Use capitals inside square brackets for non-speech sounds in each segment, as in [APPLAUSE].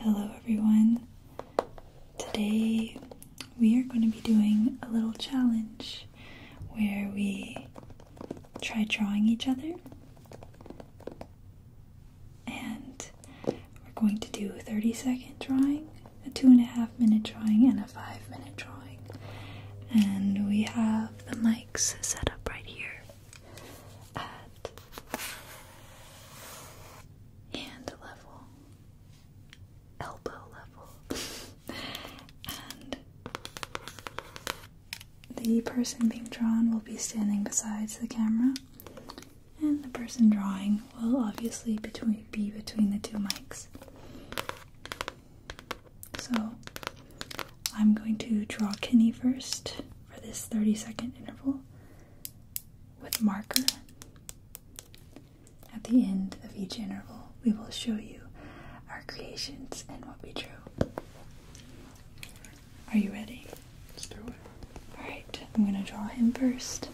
Hello everyone. Today we are going to be doing a little challenge where we try drawing each other. And we're going to do a 30 second drawing, a two and a half minute drawing, and a five minute drawing. And we have the mics set up right here. Uh, and level, elbow level, and the person being drawn will be standing beside the camera, and the person drawing will obviously between, be between the two mics. So I'm going to draw Kenny first for this 30 second interval with marker. At the end of each interval, we will show you our creations and what we drew. Are you ready? Let's do it. Alright, I'm going to draw him first.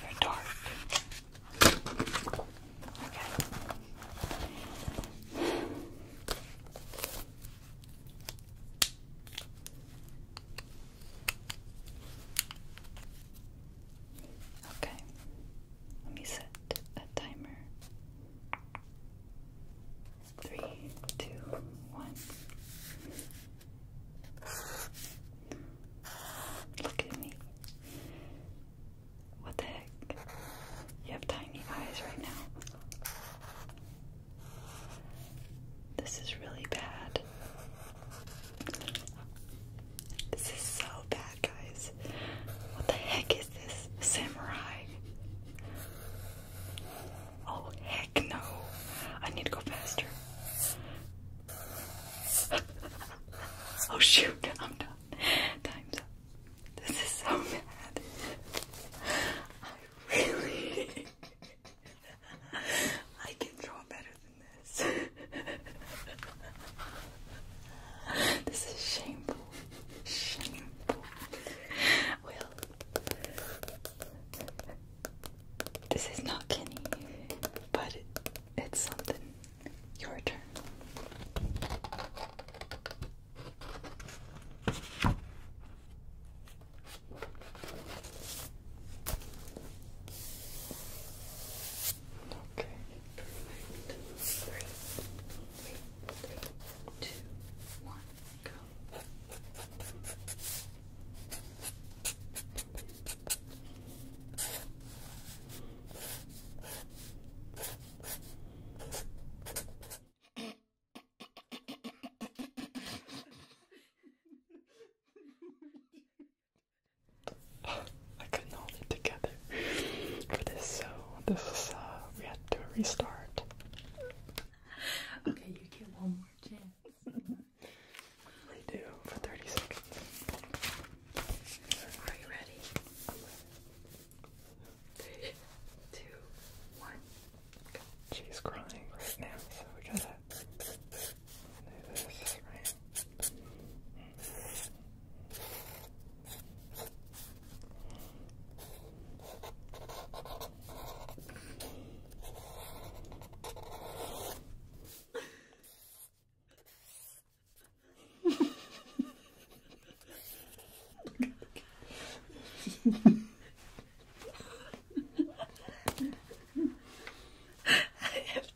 They're dark. Okay. Okay. Let me set a timer three, two, one. Look at me. What the heck? You have tiny eyes right now. This is really bad. This is so bad, guys. What the heck is this? Samurai. Oh, heck no. I need to go faster. [LAUGHS] oh, shoot. I'm done. Time's up. This is so bad. I really. [LAUGHS] I can draw better than this. [LAUGHS] this is shameful. Shameful. Well, this is not Kenny, but it's something. Your turn. Okay, perfect. I couldn't hold together for so this is uh we had to restart. Okay, you get one more chance. I do for 30 seconds. Are you ready? Three, two, one. She's crying now, so we gotta I have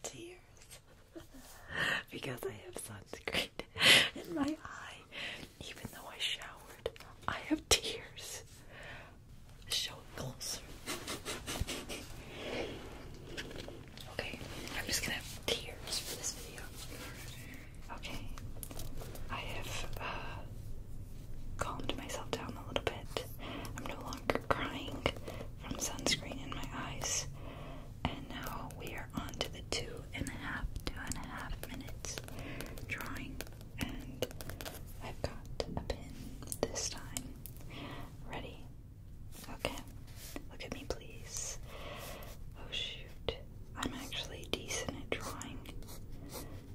tears because I have sunscreen in my eye. Even though I showered, I have tears show it closer. Okay, I'm just gonna have tears for this video. Okay, I have uh, calmed myself down a little bit. I'm no longer crying from sunscreen in my eyes. And now we are on the two and a half, two and a half minutes drawing and I've got a pin this time. Ready? Okay. Look at me, please. Oh, shoot. I'm actually decent at drawing,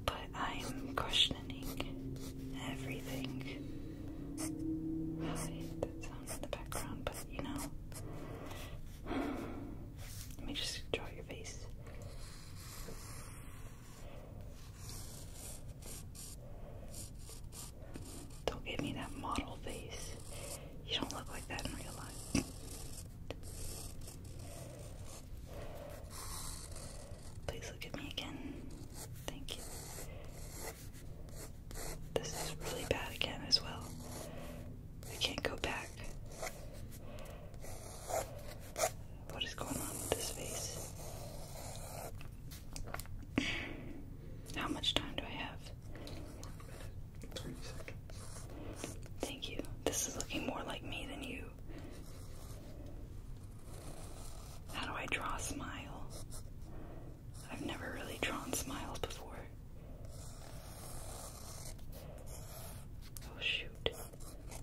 but I'm questioning everything. Right, that sounds in the background, but you know. [SIGHS] Let me just draw your face. Don't give me that model face. You don't look like that in real life. Please look at me again. Thank you. This is really bad again as well. I can't go back. What is going on with this face? How much time do I have? One seconds. Thank you. This is looking more like me than you. How do I draw a smile? I've never really drawn smiles before. Oh shoot.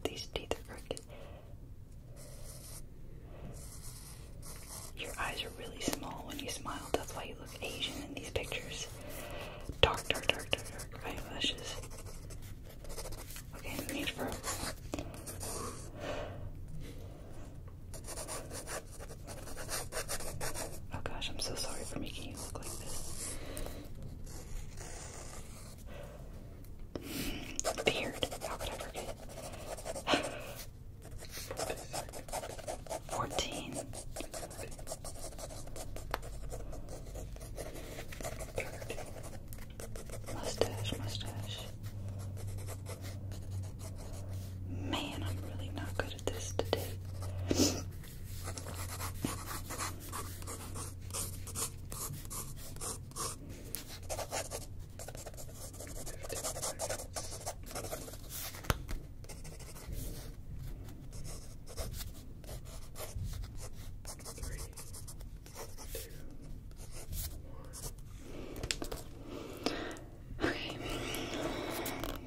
These teeth are crooked. Your eyes are really small when you smile. That's why you look Asian in these pictures. Dark, dark, dark, dark, dark eyelashes. Okay, no need for. Oh gosh, I'm so sorry for making you look like this. It's How could I forget? 14. Mustache, mustache. Man, I'm really not good at this today. Okay,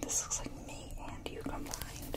this looks like me and you combined.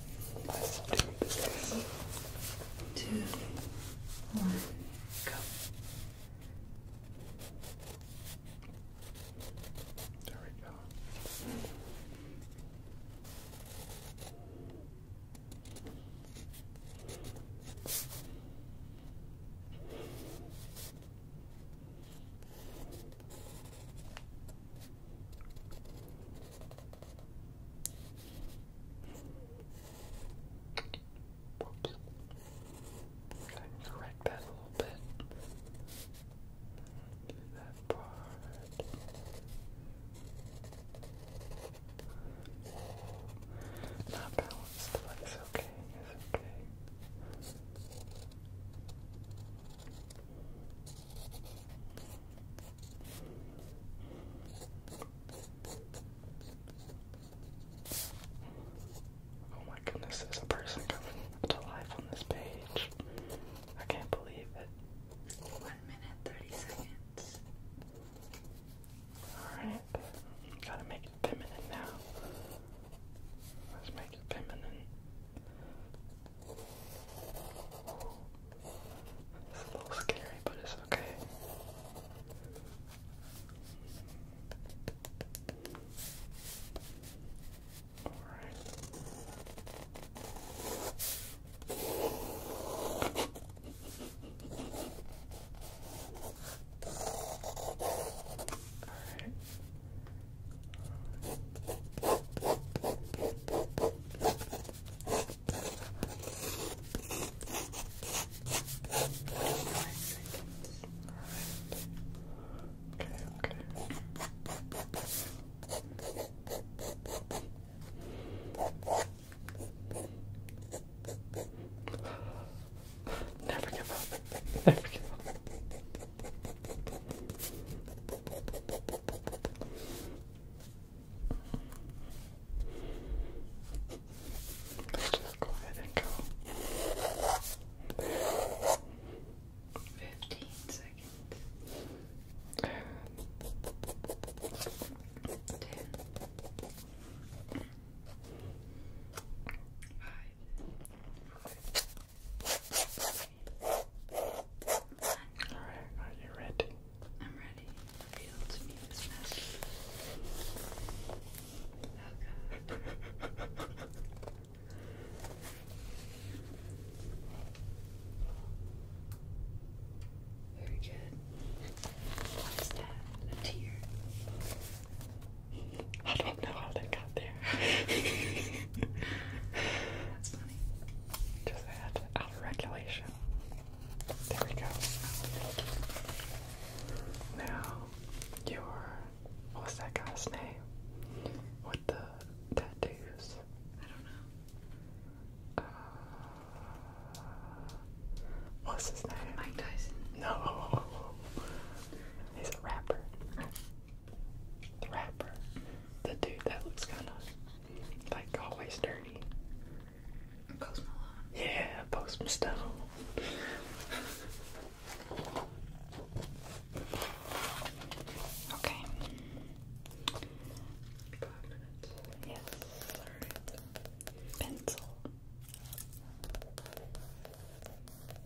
Three, two, one, go. There we go. Whoops. got correct that a little bit. that part. Not balanced, but it's okay. It's okay. Oh my goodness, there's a person coming to life on this page. I can't believe it. One minute, 30 seconds. Alright, gotta make it feminine now. Let's make it feminine. It's a little scary, but it's okay. Alright. Alright. [LAUGHS] Never give up. [LAUGHS] Never give up. Let's just go ahead and go. Fifteen seconds. Ten. Five. Alright, are you ready? I'm ready. Reveal to me this master. Oh god. Very good. What is that? A tear? I don't know how that got there. That's funny. Just that out There we go. Now, your what's that guy's name? With the tattoos? I don't know. Uh, what's his name? Mike Tyson. No, oh, oh, oh, he's a rapper. The rapper. The dude that looks kind of like always dirty. Post Yeah, Post okay. Five minutes. Yes. Pencil.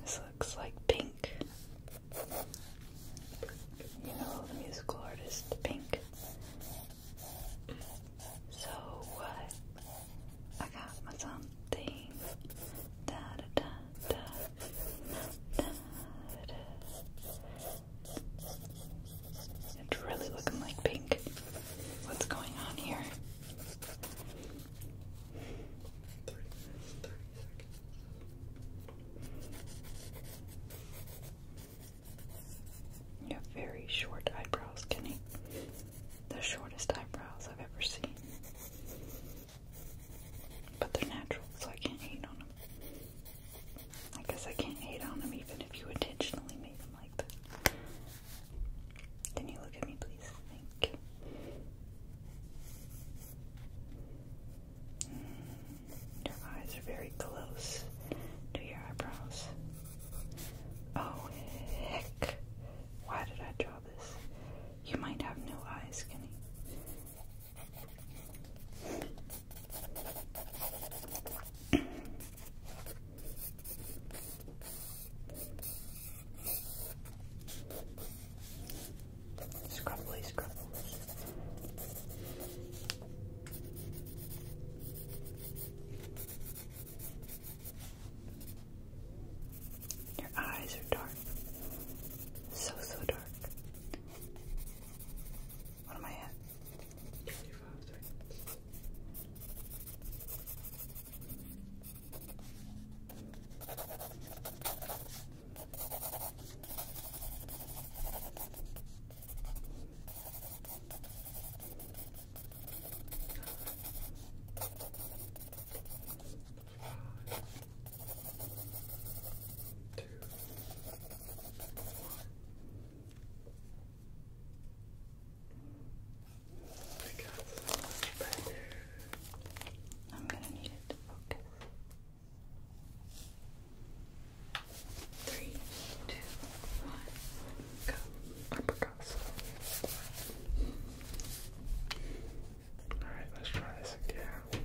This looks like Pink. You know, the musical artist Pink. So what? I got my something. Da da da da it's really looking like pink. What's going on here? You have very short eyebrows, Kenny. The shortest eyebrows I've ever seen. But they're natural, so I can't hate on them. I guess I can't hate on them even if you intentionally made them like that. Can you look at me, please? Thank you. Mm, your eyes are very close to your eyebrows. Oh, heck. Why did I draw you might have no eyes, Kenny. [CLEARS THROAT] Scrubbly, scrubbly. Your eyes are dark. So, so dark. What am I five, two, one. I got so much better. I'm gonna need it to Three, two, one, go. Uppercuts. Alright, let's try this again. With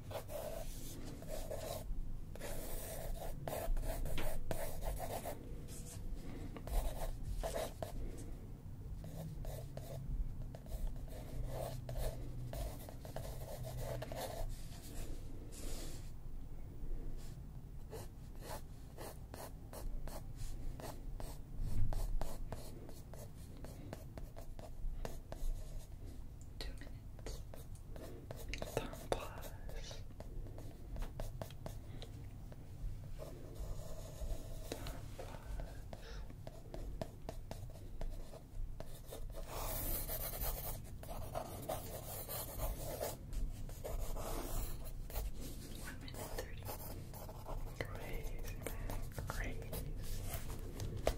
Two minutes. Tumblers. One minute thirty. Crazy man,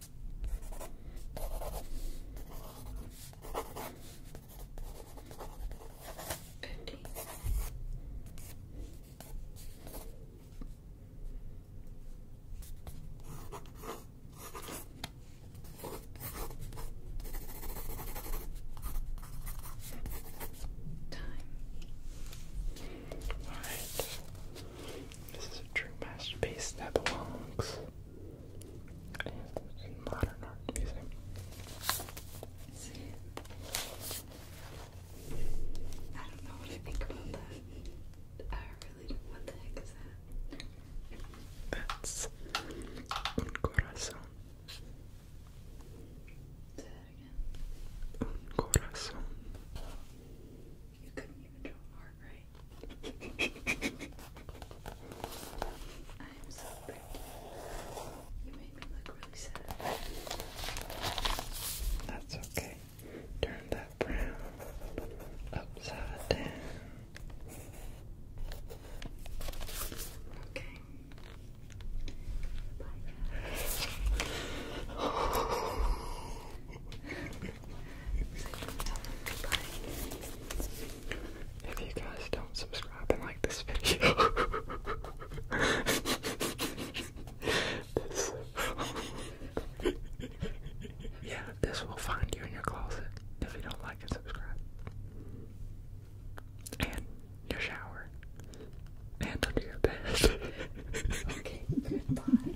Fifty. Time. All right. This is a true masterpiece that belongs in, modern art I don't know what I think about that. I really don't. What the heck is that? That's un corazón. Say Un corazón. You couldn't even do a heart right. I'm so pretty. You made me look really sad. That's okay. Turn that brown upside down. Okay. Bye. [LAUGHS] If you guys don't subscribe and like this video, [LAUGHS] [LAUGHS] yeah, this will find you in your closet if you don't like and subscribe. And your shower. And under your bed. goodbye.